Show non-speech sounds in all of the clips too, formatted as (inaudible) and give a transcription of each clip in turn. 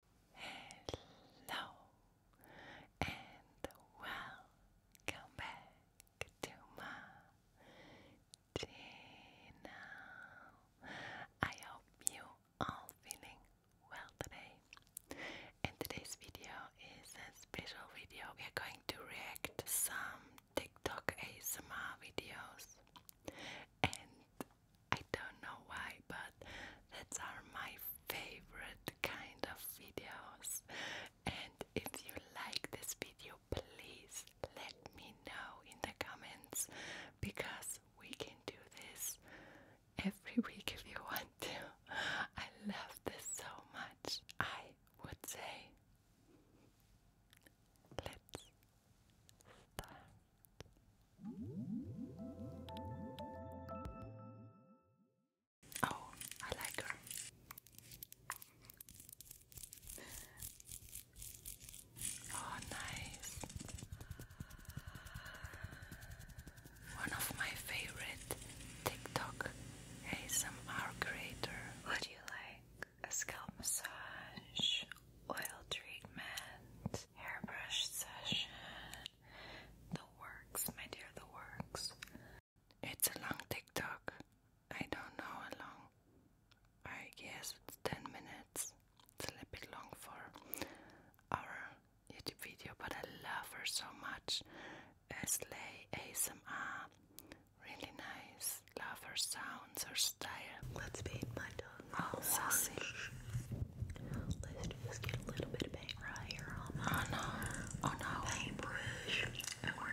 Hello and welcome back to my channel. I hope you all feeling well today. And today's video is a special video. We are going to react to some TikTok ASMR videos and I don't know why, but that's are my favorite kind of videos. And if you like this video, please let me know in the comments because we can do this every (laughs) week if you want to. I love this so much. I would say, let's start. Oh, I like her. Oh, nice. One of my favorite TikTok ASMR creator. Would you like a scalp massage, oil treatment, hairbrush session. The works, my dear, the works. It's a long TikTok. I don't know how long. I guess it's 10 minutes. It's a little bit long for our YouTube video, but I love her so much. Slay ASMR. Really nice. Love her sounds, her style. Let's be my all sassy. Let's just get a little bit of paint right here oh, no. oh, no. paintbrush. And Girl.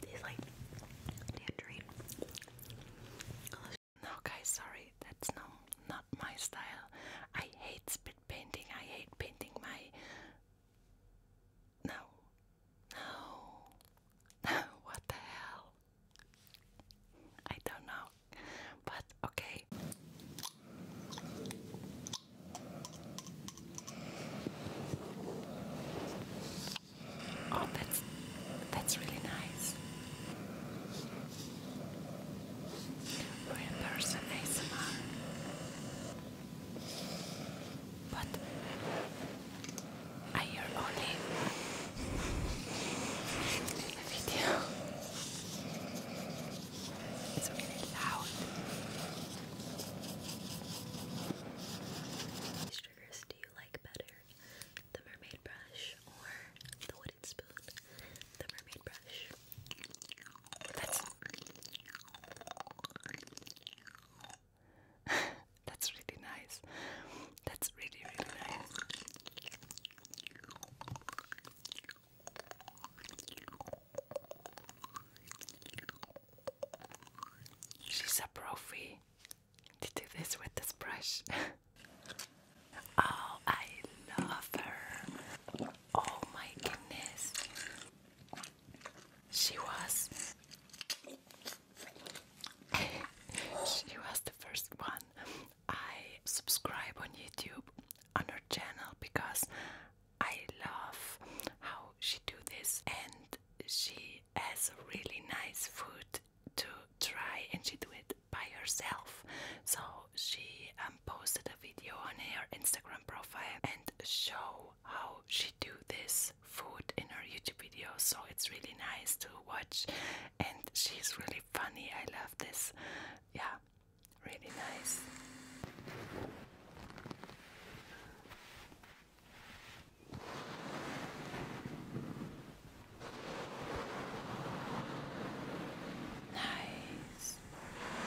These like tangerine. No, sorry, that's no not my style. I hate spit painting. I hate painting my. no, no! (laughs) What the hell? I don't know, but okay. Oh, that's that's really nice. Real person ASMR, but I hear only the video. It's really loud. Which triggers do you like better? The mermaid brush or the wooden spoon? The mermaid brush. That's (laughs) really nice. That's really, really She's a profi to do this with this brush. (laughs) oh, I love her. Oh my goodness. She was (laughs) she was the first one I subscribe on YouTube on her channel because I love how she do this and she has really nice food to try and she do it by herself. So she um, posted a video on her Instagram profile and show how she do this food in her YouTube video. So it's really nice to watch and she's really funny. I love this. Yeah, really nice. Nice,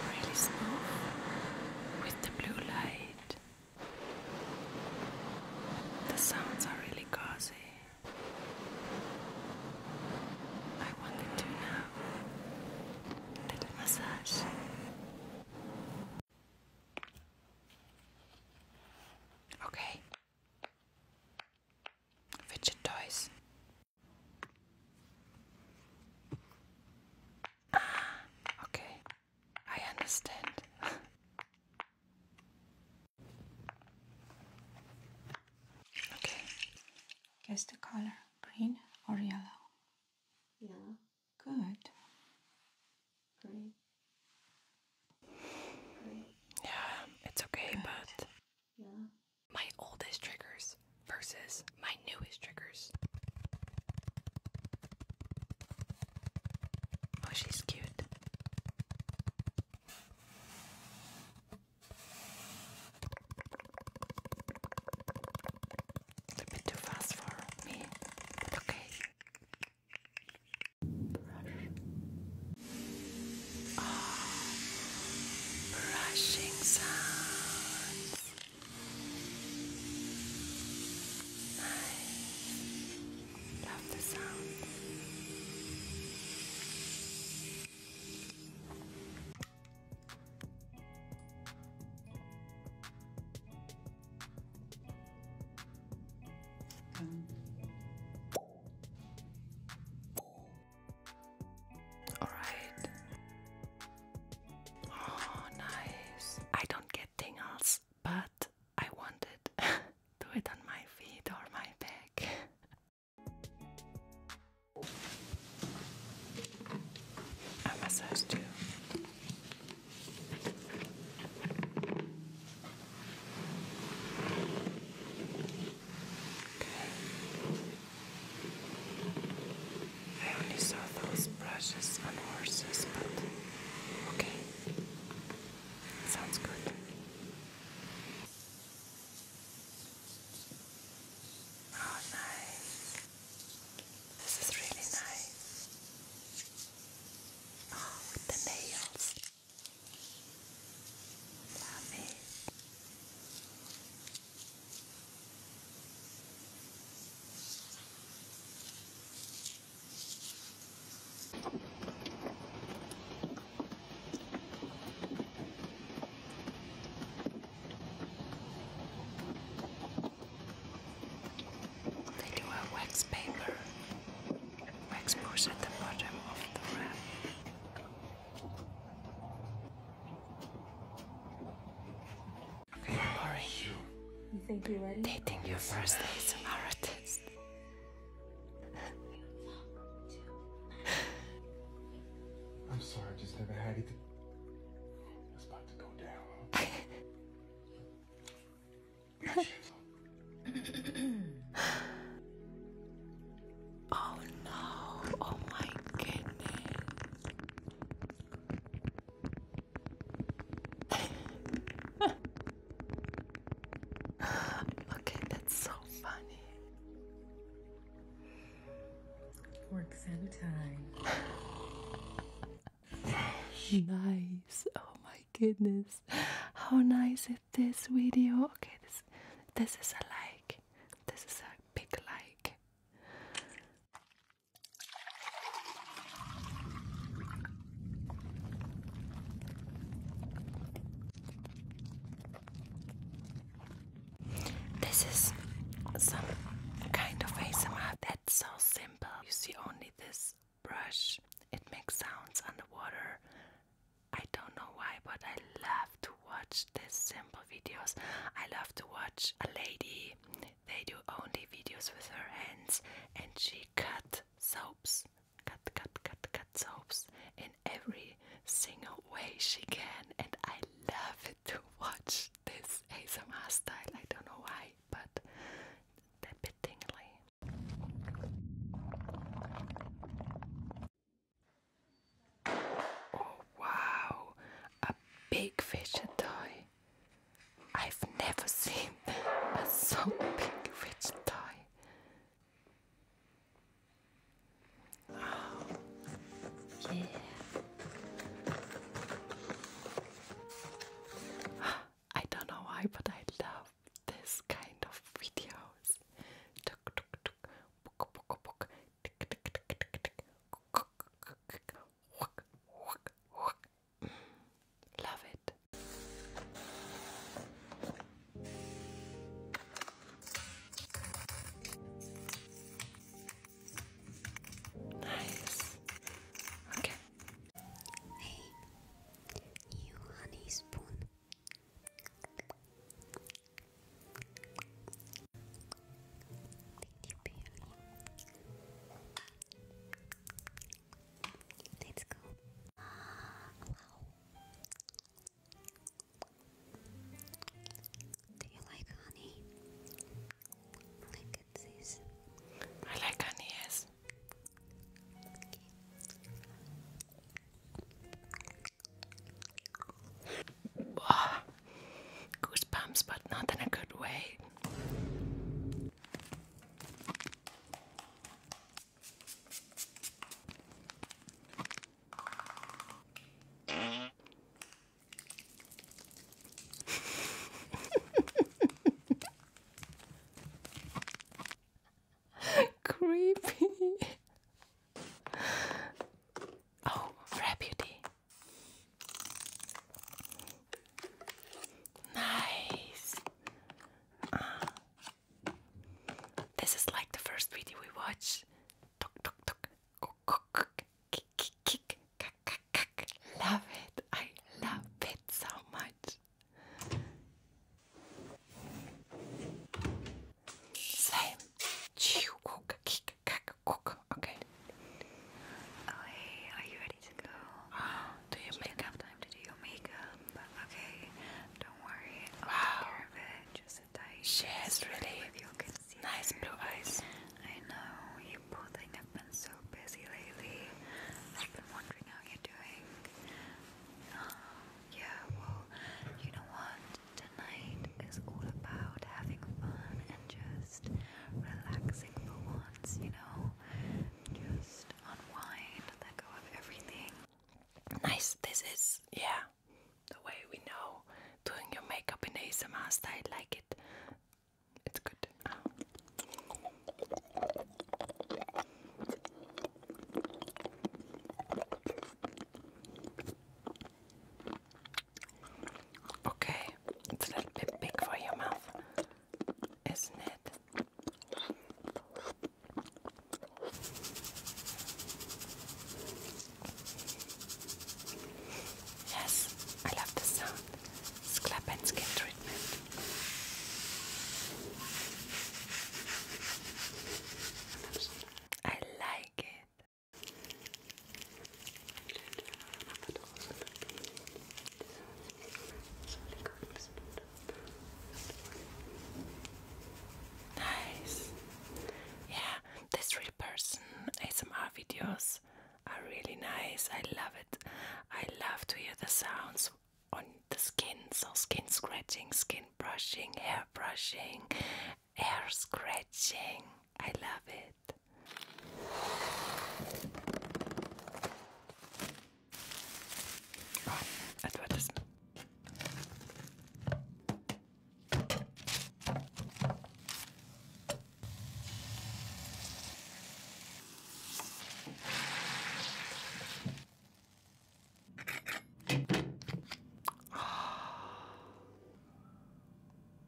really smooth with the blue light. The sounds are really cozy. I wanted to now. Little massage. Okay. Fidget toys. Ah, okay. I understand. (laughs) Okay. Guess the color green or yellow? Yellow. Good. Green. Green. Yeah, it's okay, but. Yeah. My oldest triggers versus my newest triggers. Oh, she's cute. A bit too fast for me, but okay. brushing sounds. Nice. Love the sound. All right. Oh, nice. I don't get tingles, but I want it. (laughs) do it on my feet or my back. (laughs) I massage too. Okay. I only saw those brushes on horses, but okay. Sounds good. Oh, nice. This is really nice. Oh, with the nails. Love it. They do a wax paper, wax push at the bottom of the wrap. Okay, You think you're Dating your first ASMR artist. I'm sorry, I just never had it. It's about to go down. (coughs) oh no, oh my goodness. (laughs) (sighs) okay, that's so funny. Work time. (sighs) nice. Oh my goodness. How nice is this video? Okay, this this is a like. This is a big like. This is some kind of ASMR that's so simple. You see only this brush. It makes sounds underwater. I don't know why, but I love to watch this simple videos. I love to watch a lady. They do only videos with her hands and she cut soaps cut, cut, cut, cut soaps in every single way she can, and I love to watch this ASMR style. I don't know why, but they're a bit tingly. Oh wow, a big fidget toy. I've never seen a so big fidget toy. (gasps) I don't know why, but I love this kind of videos. Love it. Nice. Okay. Hey, you honey spoon. Thank you, Let's go. wow. Ah, do you like honey? Like it says. I like honey, yes. goosebumps, but not in a good way. (laughs) Creepy. Oh, Reputy. Nice. Uh. This is like the first video we watched. Love it. I love it so much. Same. Okay. Oh, are you ready to go? Oh, (gasps) do your makeup time to do your makeup but okay, don't worry. I'll wow. take care of it. Just sit tight. She has really nice blue eyes. I know. You poor have been so busy lately. I've been wondering how you're doing. Um, yeah, well, you know what? Tonight is all about having fun and just relaxing for once, you know? Just unwind, let go of everything nice. This is, yeah, the way we know doing your makeup in ASMR style. Like it, it's good. Okay, it's a little bit big for your mouth, isn't it? Yes, I love the sound. Scalp and skin treatment. I like it. Nice. Yeah, this real person ASMR videos are really nice. I love it. I love to hear the sounds on the skin. So skin scratching, skin brushing, hair brushing, hair scratching. I love it. Ah, ah.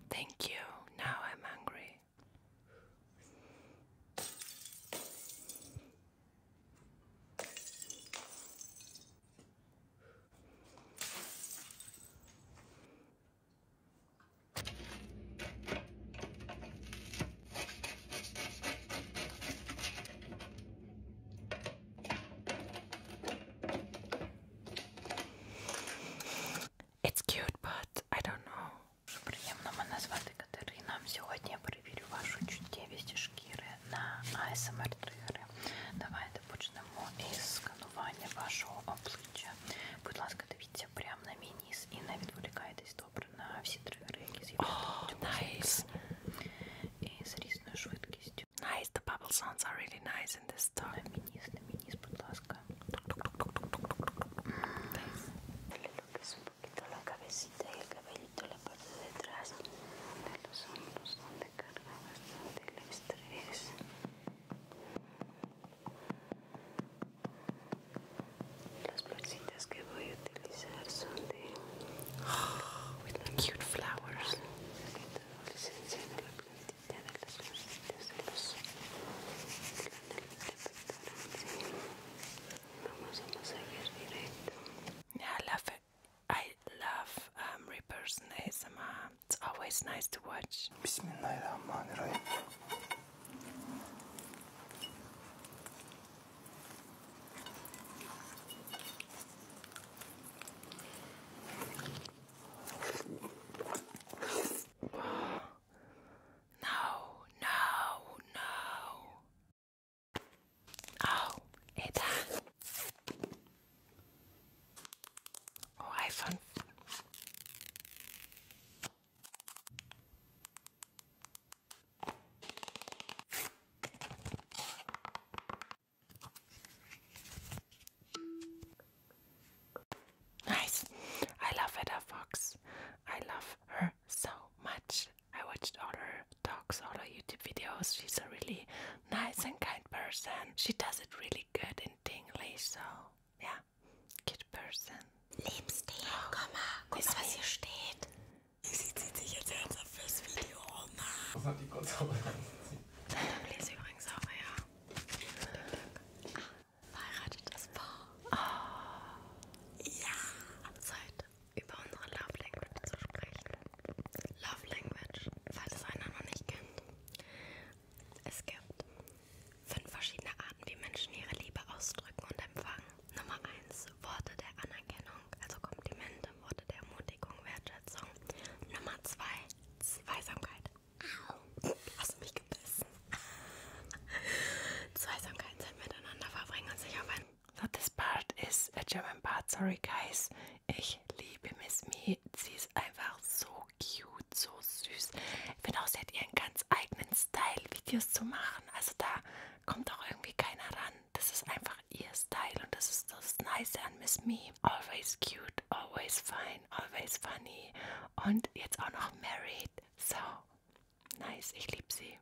Thank you. Now I'm hungry. It's cute, but I don't know. Катерина. Сьогодні я перевірю вашу чуттєвість шкіри на АСМР-тригери. Давайте почнемо із сканування вашого обличчя. Будь ласка, дивіться прямо на мій ніс і не відволікайтесь добре на всі тригери, які з'являються. Oh, nice. І з різною швидкістю. Nice, the bubble sounds are really nice in this time. На мій ніс, на мій ніс, будь ласка. Nice. poquito la cabecita y el cabellito, la parte de atrás de los hombros donde carga bastante el estrés. Las florcitas que voy a utilizar son de with the cute flowers. Adolescencia de la plantita de las florcitas de los de la Vamos a seguir directo Yeah, I love it. I love um, Reapers and It's always nice to watch. Bismillahirrahmanirrahim. No, no, no. Oh, eta. O iPhone. Nice. I love Etta Fox. I love her so much. I watched all her talks, all her YouTube videos. She's a really nice and kind person. She does it really good in English, so yeah, good person. Liebst dich, oh, komm was hier steht. Sie zieht sich jetzt ernsthaft fürs Video um. Das hat die kurz Dann lese übrigens auch, ja. Ah, verheiratet das Paar. Oh. Ja. Zeit. über unsere Love Language zu sprechen. Love Language, falls es einer noch nicht kennt. Es gibt fünf verschiedene Arten, wie Menschen ihre Liebe ausdrücken und empfangen. Nummer 1, Worte der Anerkennung, also Komplimente, Worte der Ermutigung, Wertschätzung. Nummer 2, Zweisamkeit. Au, hast du mich gebissen? (laughs) Zweisamkeit, Zeit miteinander verbringen und sich auf ein so this part is a German part, sorry guys. Ich liebe Miss Me. Sie ist einfach so cute, so süß. Ich finde auch, sie hat ihren ganz eigenen Style, Videos zu machen. Also da kommt auch irgendwie keiner ran. Das ist einfach ihr Style und das ist das Nice an Miss Me. Always cute, always fine, always funny. Und jetzt auch noch married. So nice, ich liebe sie.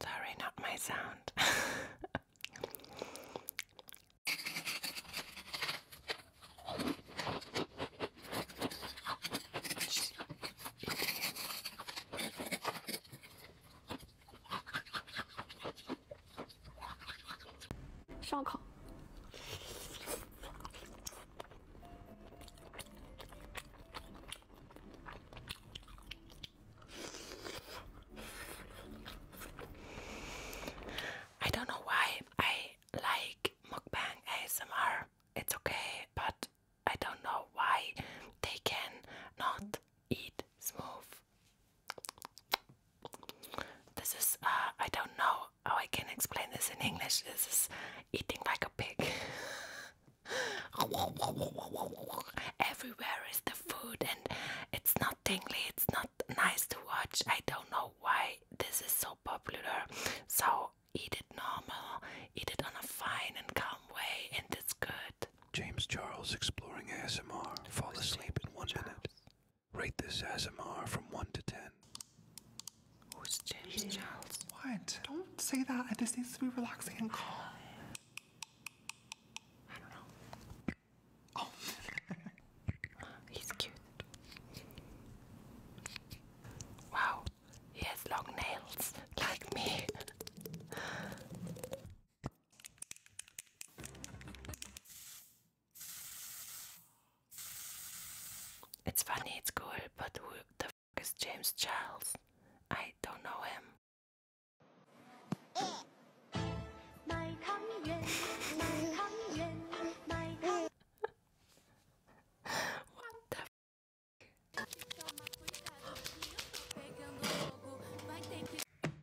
Sorry, not my sound. (laughs) 烧烤。I don't know why I like mukbang ASMR. It's okay, but I don't know why they can not eat smooth this is, uh, I don't know how I can explain this in English. This is eating like a pig. (laughs) Everywhere is the food, and it's not dingly. it's not nice to watch. I don't know why this is so popular. So, eat it normal, eat it on a fine and calm way, and it's good. James Charles exploring ASMR. Fall asleep in one minute. Rate this ASMR from one to ten. Who's James Charles? What? Don't say that. This needs to be relaxing and calm. I don't know. Oh, (laughs) he's cute. Wow, he has long nails like me. (laughs) It's funny, it's cool, but who the f is James Charles? I don't know him. (laughs) what the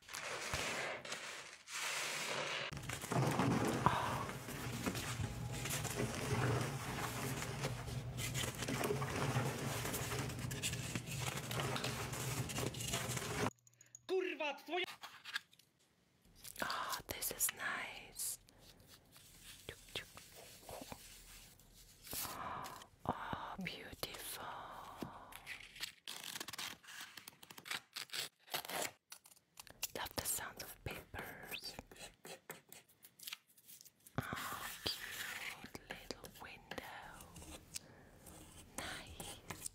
Oh, this is nice. Oh, beautiful. Love the sound of papers. Oh, cute little window. Nice.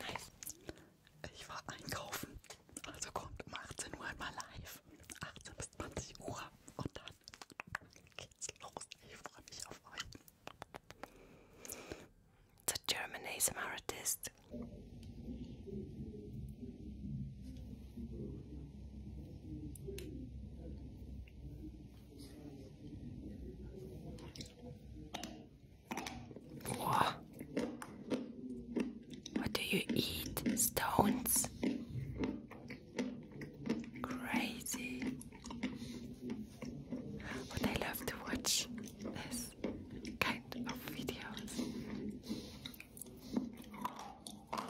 Nice. Ich war einkaufen. Also kommt um 18 Uhr immer live. 18 bis 20 Uhr. Und dann geht's los. Ich freue mich auf euch. The German ASMR Artist. What? What do you eat? Stones? Crazy. But I love to watch this kind of videos. Ah.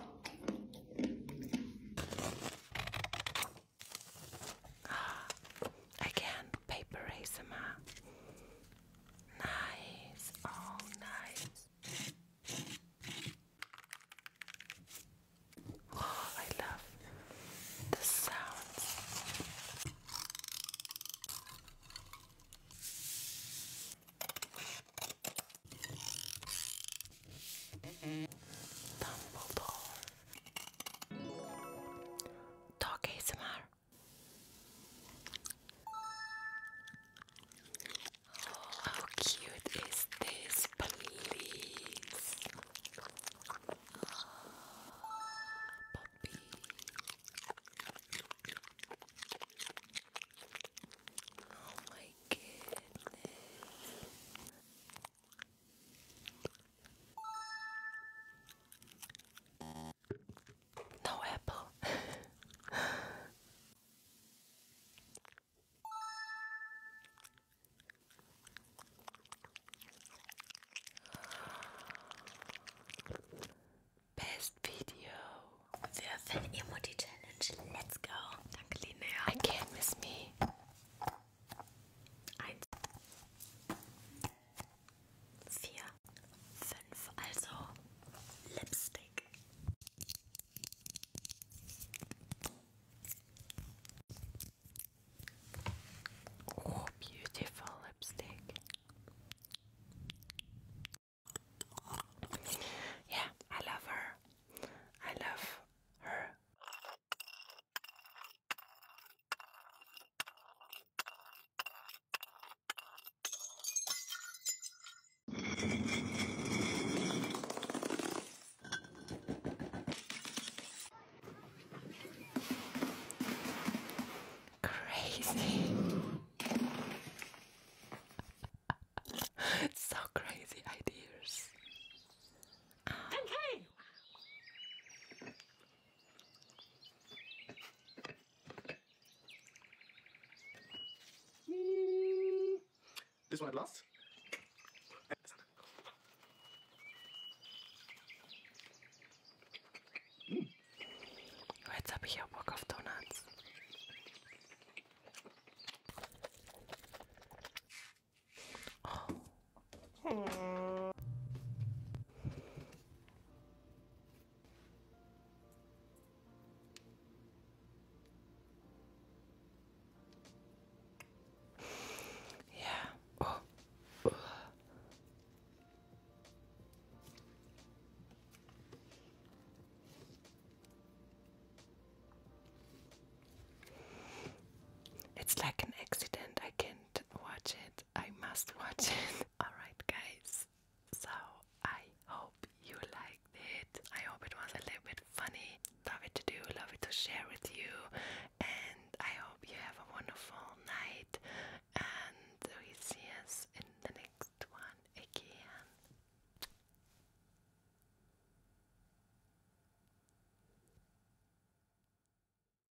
Again, paper ASMR. Nice, oh nice. Oh, I love the sounds. Dumbledore. Talk ASMR. Oh, how cute is this, please? Oh, Oh my goodness. No apple. Best video. Wirf in Emoji Challenge. Let's go. Danke, Linnea. I can't miss me. Four, five. also Lipstick. Oh, beautiful lipstick. Yeah, I love her. I love her. Crazy. (laughs) it's so crazy ideas. Okay. This one at last. Mm. Jetzt habe ich auch yeah. Oh. (sighs) It's like an accident. I can't watch it. I must watch (laughs) it. Alright, guys, so I hope you liked it. I hope it was a little bit funny. Love it to do, love it to share with you, and I hope you have a wonderful night. And we see us in the next one again.